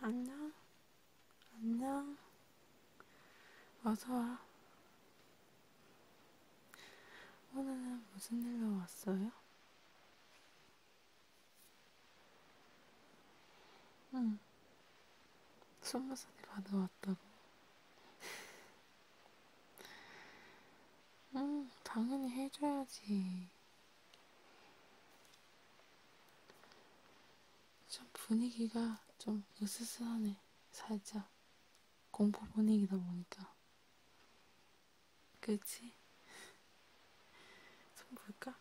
안녕, 안녕, 어서와. 오늘은 무슨 일로 왔어요? 응, 스무 살이 받아왔다고. 응, 아, 당연히 해줘야지. 참 분위기가 좀 으스스하네. 살짝 공포 분위기다 보니까. 그치? 좀 볼까?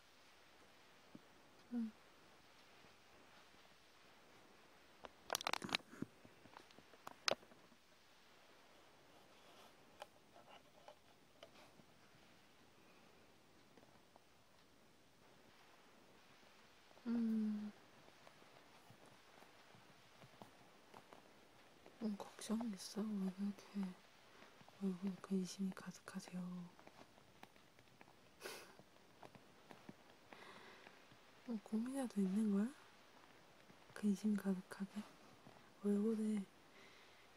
응. 음. 음, 음 걱정했어. 왜 그렇게 얼굴에 근심이 그 가득하세요? 어, 고민이라도 있는 거야? 근심 그 가득하게? 얼굴에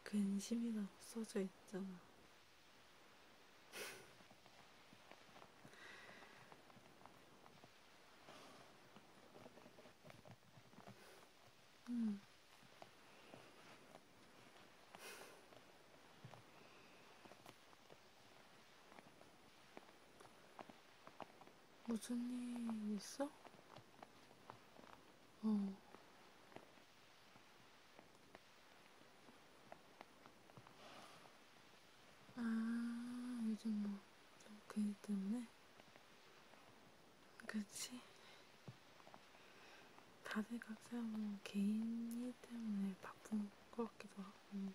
근심이라고 써져 있잖아. 음. 무슨 일 있어? 어. 아, 요즘 뭐, 좀그 일 때문에? 그치? 다들 각자 뭐, 개인 일 때문에 바쁜 것 같기도 하고,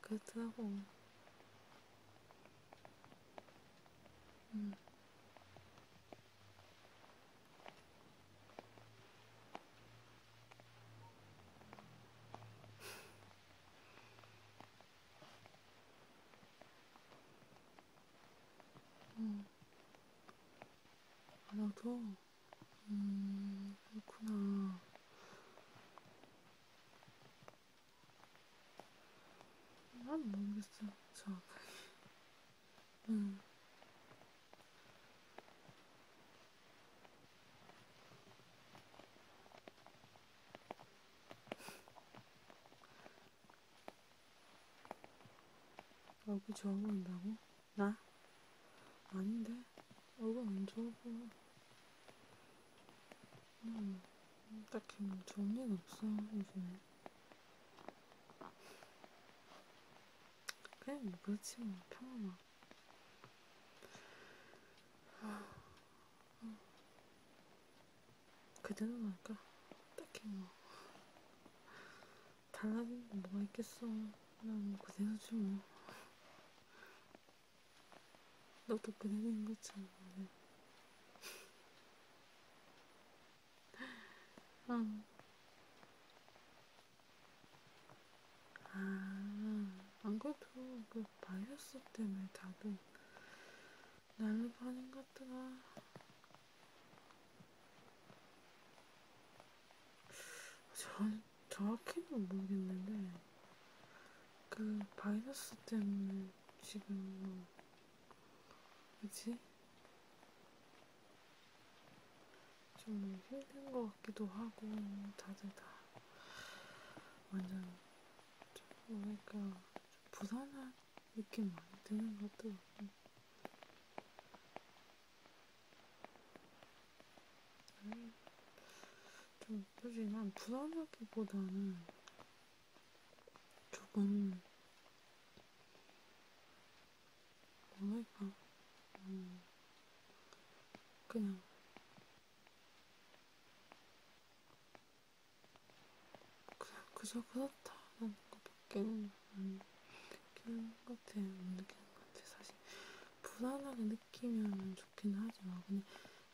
그렇더라고. 음. 어, 나도, 음, 그렇구나. 난 모르겠어. 정확하게. 음. 얼굴 좋아 보인다고? 나? 아닌데? 얼굴 안 좋아 보여. 음, 딱히 좋은 뭐 일 없어, 요즘에. 그냥 뭐 그렇지 뭐 평범하. 그대로랄까 딱히 뭐 달라진 게 뭐가 있겠어. 그냥 뭐 그대로지 뭐. 너도 그대로인 거지. 뭐. 네. 응. 아, 안 그래도 그 바이러스 때문에 다들 날로 파는 것 같더라. 저, 정확히는 모르겠는데, 그 바이러스 때문에 지금 뭐 뭐지? 좀 힘든 것 같기도 하고, 다들 다 완전 좀 뭐랄까 좀 부산한 느낌 많이 드는 것 같더라고요. 음, 좀 솔직히 난 부산하기보다는 조금 뭐랄까 음, 그냥 그냥 그저 그렇다라는 것밖에는 안 느끼는 것 같아요. 못 느끼는 것 같아요. 사실 불안하게 느끼면 좋긴 하지만 근데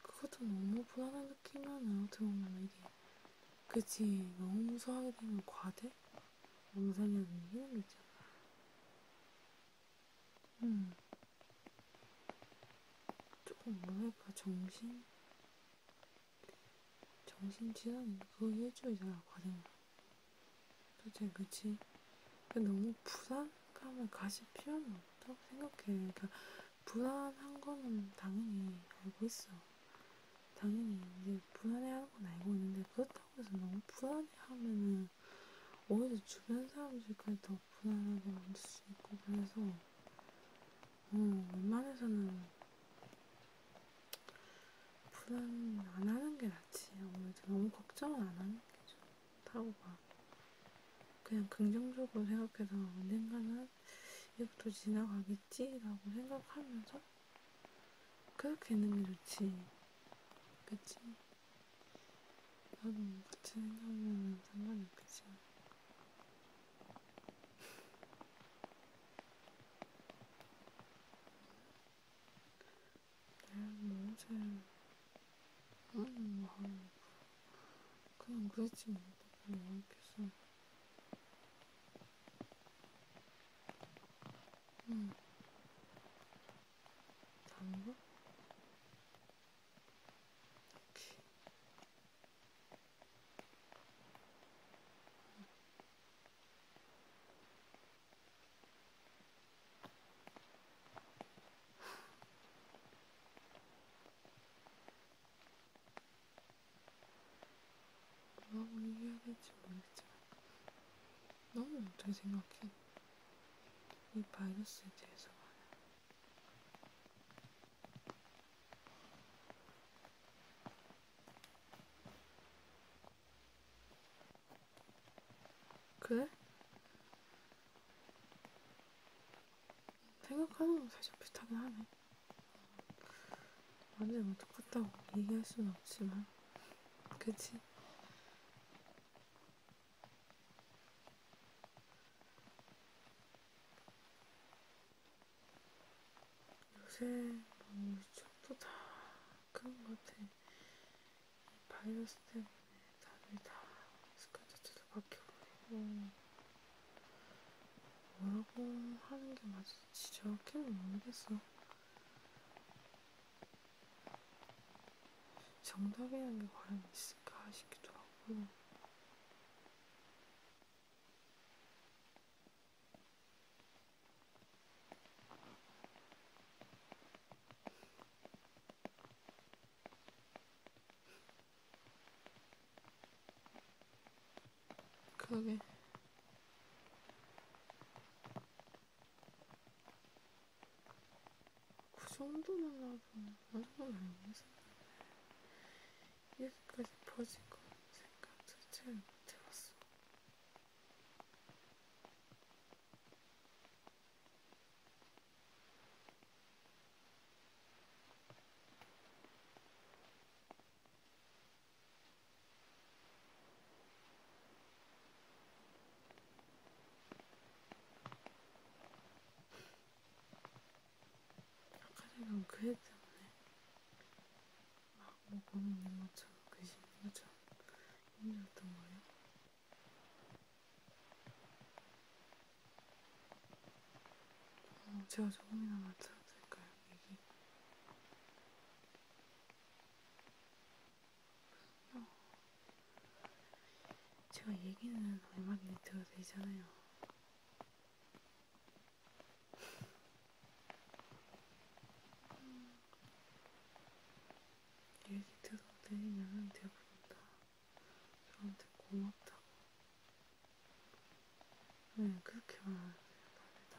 그것도 너무 불안한 소화기 끼면은 어떻게 보면 이게 그치 너무 소화기 끼면 과대? 몸살이라는 게 이런 거잖아 음. 조금 뭐랄까 정신? 정신질환 그거 일주일이잖아 과대면 솔직히 그치? 너무 불안감을 가질 필요는 없다고 생각해. 그러니까 불안한 거는 당연히 알고 있어. 당연히 이제 불안해하는 건 알고 있는데 그렇다고 해서 너무 불안해하면은 오히려 주변 사람들까지 더 불안하게 만들 수 있고 그래서 어, 웬만해서는 불안 안 하는 게 낫지 아무래도 너무 걱정을 안 하는 게 좋다고 봐 그냥 긍정적으로 생각해서 언젠가는 이것도 지나가겠지라고 생각하면서 그렇게 있는 게 좋지. 그치? 나도 같이 생각하면 상관이 없겠지만. 내가 뭐 어제, 아니, 뭐, 그냥 그랬지 뭐, 뭐, 했겠어. 응. 당구? 오케이. 응. 뭐라고 얘기해야 될지 모르겠지만 너는 어떻게 생각해? 이 바이러스에 대해서 말해. 그래? 생각하는 건 사실 비슷하긴 하네. 완전히 뭐 똑같다고 얘기할 수는 없지만, 그치? 요새 뭐 유튜브도 다 그런 것 같아. 이 바이러스 때문에 다들 다 스카트도 바뀌어버리고 뭐라고 하는 게 맞을 지저귀는 모르겠어. 정답이라는 게 과연 있을까 싶기도 하고. 그러게. 그 정도만 나오면 완전 아니겠어. 여기까지 퍼질 거 생각 자체를 못해봤어. 아까 전에 그애 때문에 막뭐 고민인 것처럼 근심인 그 것처럼 힘들었던 거예요? 어, 제가 조금이나마 들어드릴까요? 얘기? 어. 제가 얘기는 얼마든지 들어도 되잖아요. 음. 얘기 들어도 되냐면 대부분 다 저한테 고맙다고. 네, 그렇게 말하세요, 다들 다.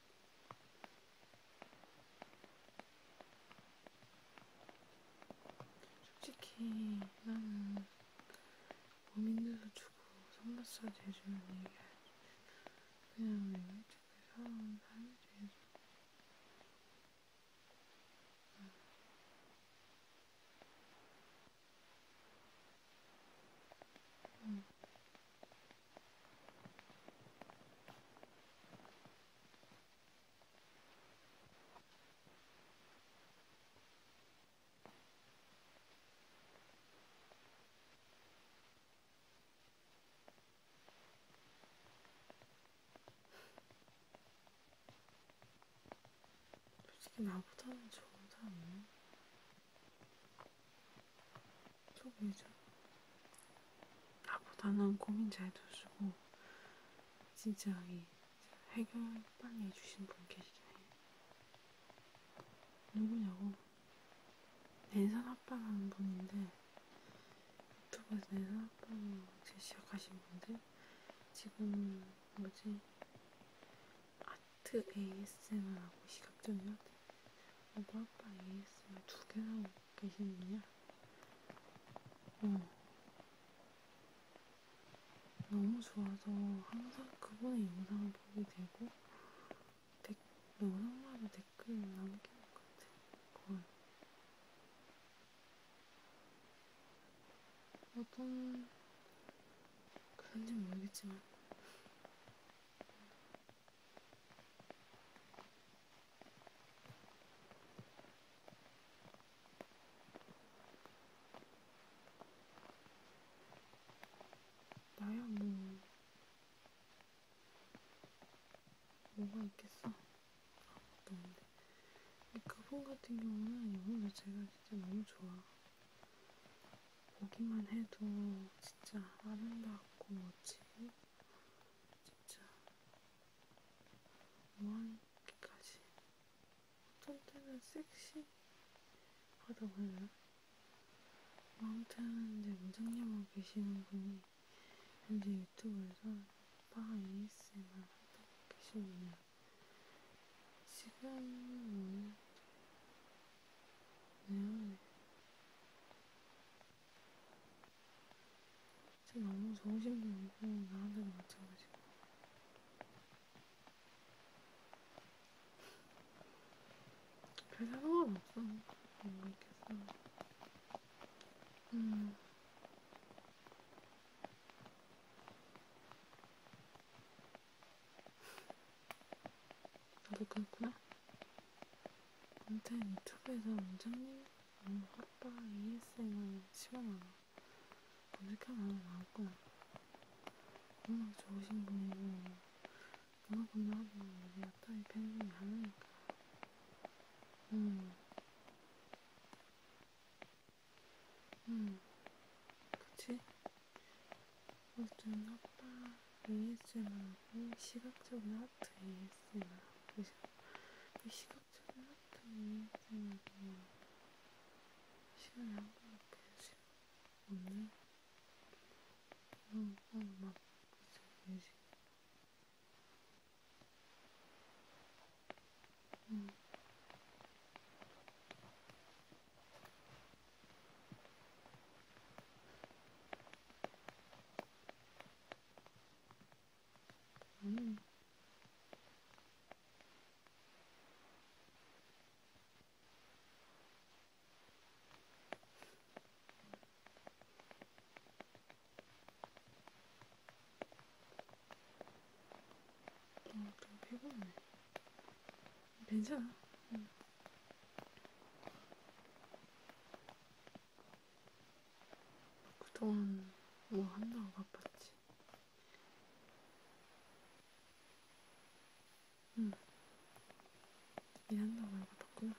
솔직히 나는 고민돼서 주고 손마사지 해주는 얘기 그냥 맨날 집에 살아온 삶이지 응. 응. 솔직히 나보다는 좋은 사람이 초보이죠. 나보다는 고민 잘도 주고 진지하게 해결 빨리 해주신 분 계시잖아요. 누구냐고? 낸산 아빠라는 분인데 유튜브에서 낸산 아빠로 제 시작하신 분데 지금 뭐지? 아트 ASMR하고 시각적인 아트 오버 뭐 아빠 ASMR 두 개나 계시는 분이야? 음. 어. 너무 좋아서 항상 그분의 영상을 보게 되고 댓, 영상마다 댓글을 남기는 것 같아. 거의. 어떤 그런지 모르겠지만 나야 뭐 뭐가 있겠어? 아, 너무 근데 그분 같은 경우는 영혼 자체가 진짜 너무 좋아. 보기만 해도 진짜 아름답고 멋지고 진짜 머리까지 뭐 어떤 때는 섹시하다고 해요. 아무튼 이제 무장님하고 계시는 분이 현재 유튜브에서 빠 ASMR 하고 계시네요. 지금 뭐였네요. 진짜 너무 좋으신 분이고 나한테도 마찬가지고 별 상관 없어 뭐 있겠어 음 나도 그렇구나 아무튼 유튜브에서 원장님 음, 아빠 ASMR 시원하다. 검색해보면 나올 거야. 워낙 좋으신 분이고, 워낙 분명하고, 우리 아빠의 팬이 많으니까. 음. 음. 그치? 어쨌든 아빠 ASMR하고 시각적인 하트 ASMR 이 시각적인 하트 ASMR은 시간이 한번 볼수 없네 너무 막 그저 의식 응. 음. 음. 어, 좀 피곤해. 괜찮아. 응. 그동안 뭐 한다고 바빴지. 응. 일한다고 바빴구나.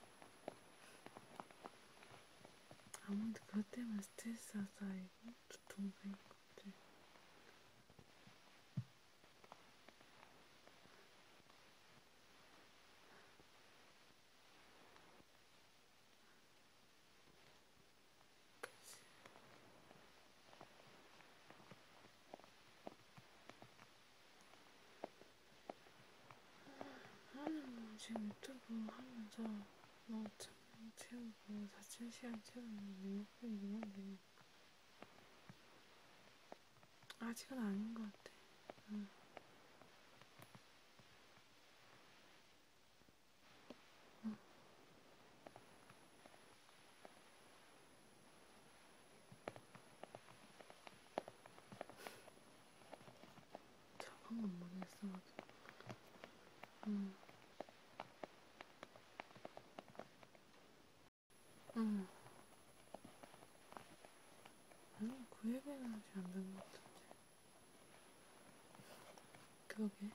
아무래도 그것 때문에 스트레스가 쌓이고 두통이 생길 것 같아. 아, 지금 유튜브 하면서 뭐 천명 채우고 사천 시간 채우는데 목표는 이만데 아직은 아닌 것 같아. 응. 작은 건 모르겠어. 음. 음. 아니, 그 얘기는 아직 안 된 것 같은데. 그러게.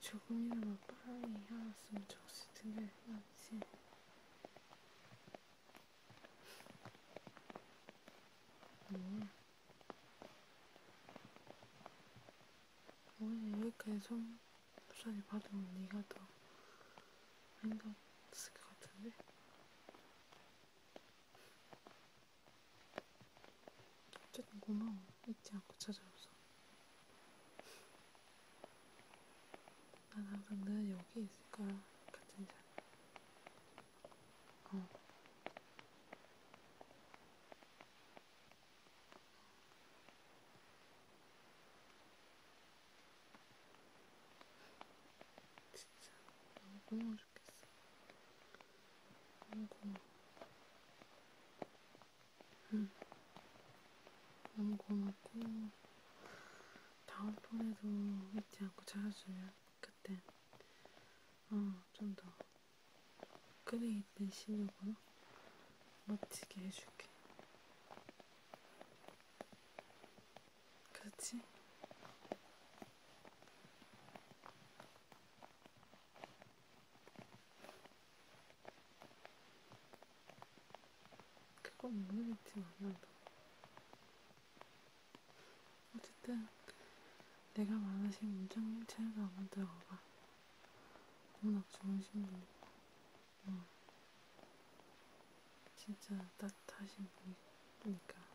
조금이라도 빠르게 일어났으면 정신 들게 해야지. 뭘? 오늘 이렇게 손수리 받으면 네가 더 행복했을 것 같은데? 어쨌든 고마워. 잊지 않고 찾아와서. 난 항상 늘 여기 있을 거야. 같은 자리. 어. 진짜 너무 고마워. 나왔으면 좋겠어. 너무 고마워. 응. 너무 고맙고, 다음번에도 잊지 않고 찾아주면 그때, 어, 좀 더, 끓여있는 신욕으로 멋지게 해줄게. 그렇지? 그건 뭐 모르겠지만 나도 어쨌든 내가 말하신 문장체가 한번 들어가봐 워낙 좋으신 분 어. 진짜 따뜻하신 분이니까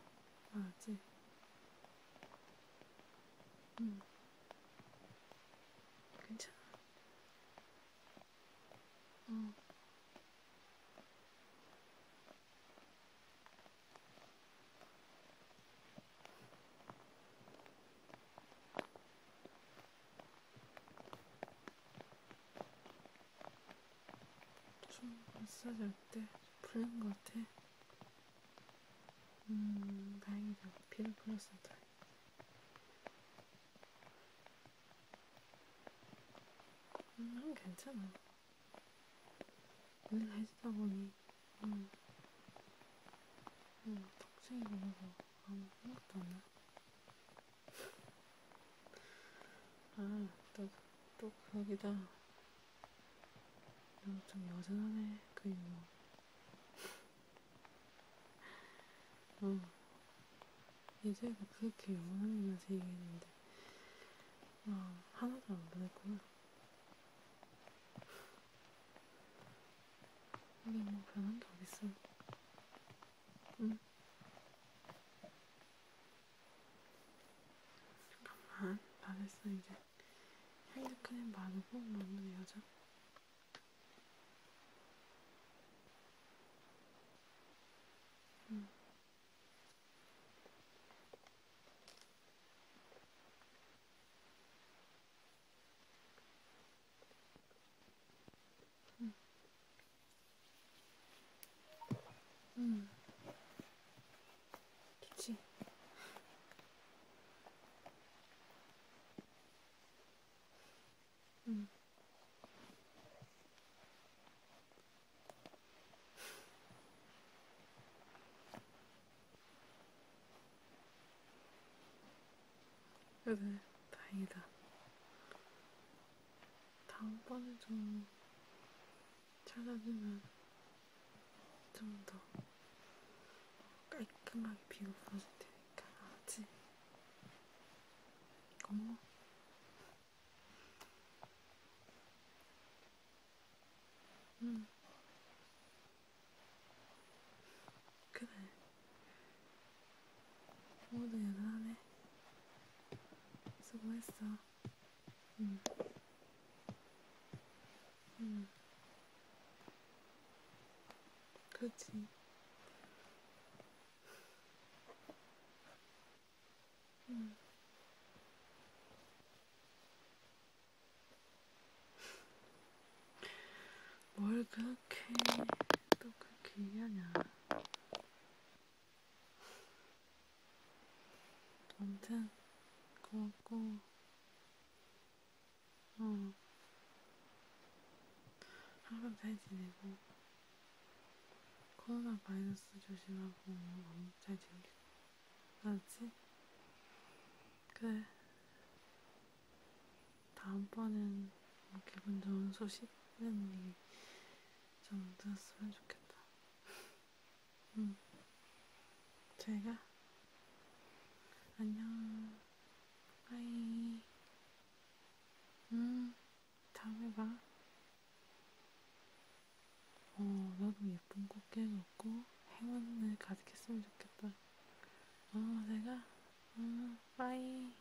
맞지? 아, 응. 네. 음. 괜찮아. 응. 어. 좀 마사지 할때 풀린 것 같아. 음, 다행이다. 피를 풀었어요. 음, 괜찮아. 오늘 해주다 보니, 음, 음, 덕생이 보면서 아무 생각도 안 나. 아, 또, 또 거기다 엄청 음, 여전하네, 뭐. 음. 그 유머. 어, 예제가 그렇게 영원하면 서 얘기했는데, 아, 하나도 안 변했구나. 근데 뭐 변한 게 어딨어. 응? 음. 잠깐만, 다 됐어, 이제. 핸드크림 만고 만든 여자? 음. 음. 음. 좋지? 응. 음. 그래, 다행이다. 다음번에 좀 잘라주면 좀 더 깔끔하게 비가 부러질 테니까 아지 이건 뭐 응. 그래. 모두 연하네. 수고했어. 음. 음. 그렇지. 음. 뭘 그렇게 또 그렇게 얘기하냐. 아무튼 고맙고 어, 항상 잘 지내고, 코로나 바이러스 조심하고, 음, 잘 지내고, 알았지? 그래. 다음번엔 뭐 기분 좋은 소식? 이런 얘기 좀 들었으면 좋겠다. 음. 제가 안녕. 하이. 음. 다음에 봐. 어, 나도 예쁜 꽃게 놓고 행운을 가득했으면 좋겠다. 어, 내가, 음, 빠이.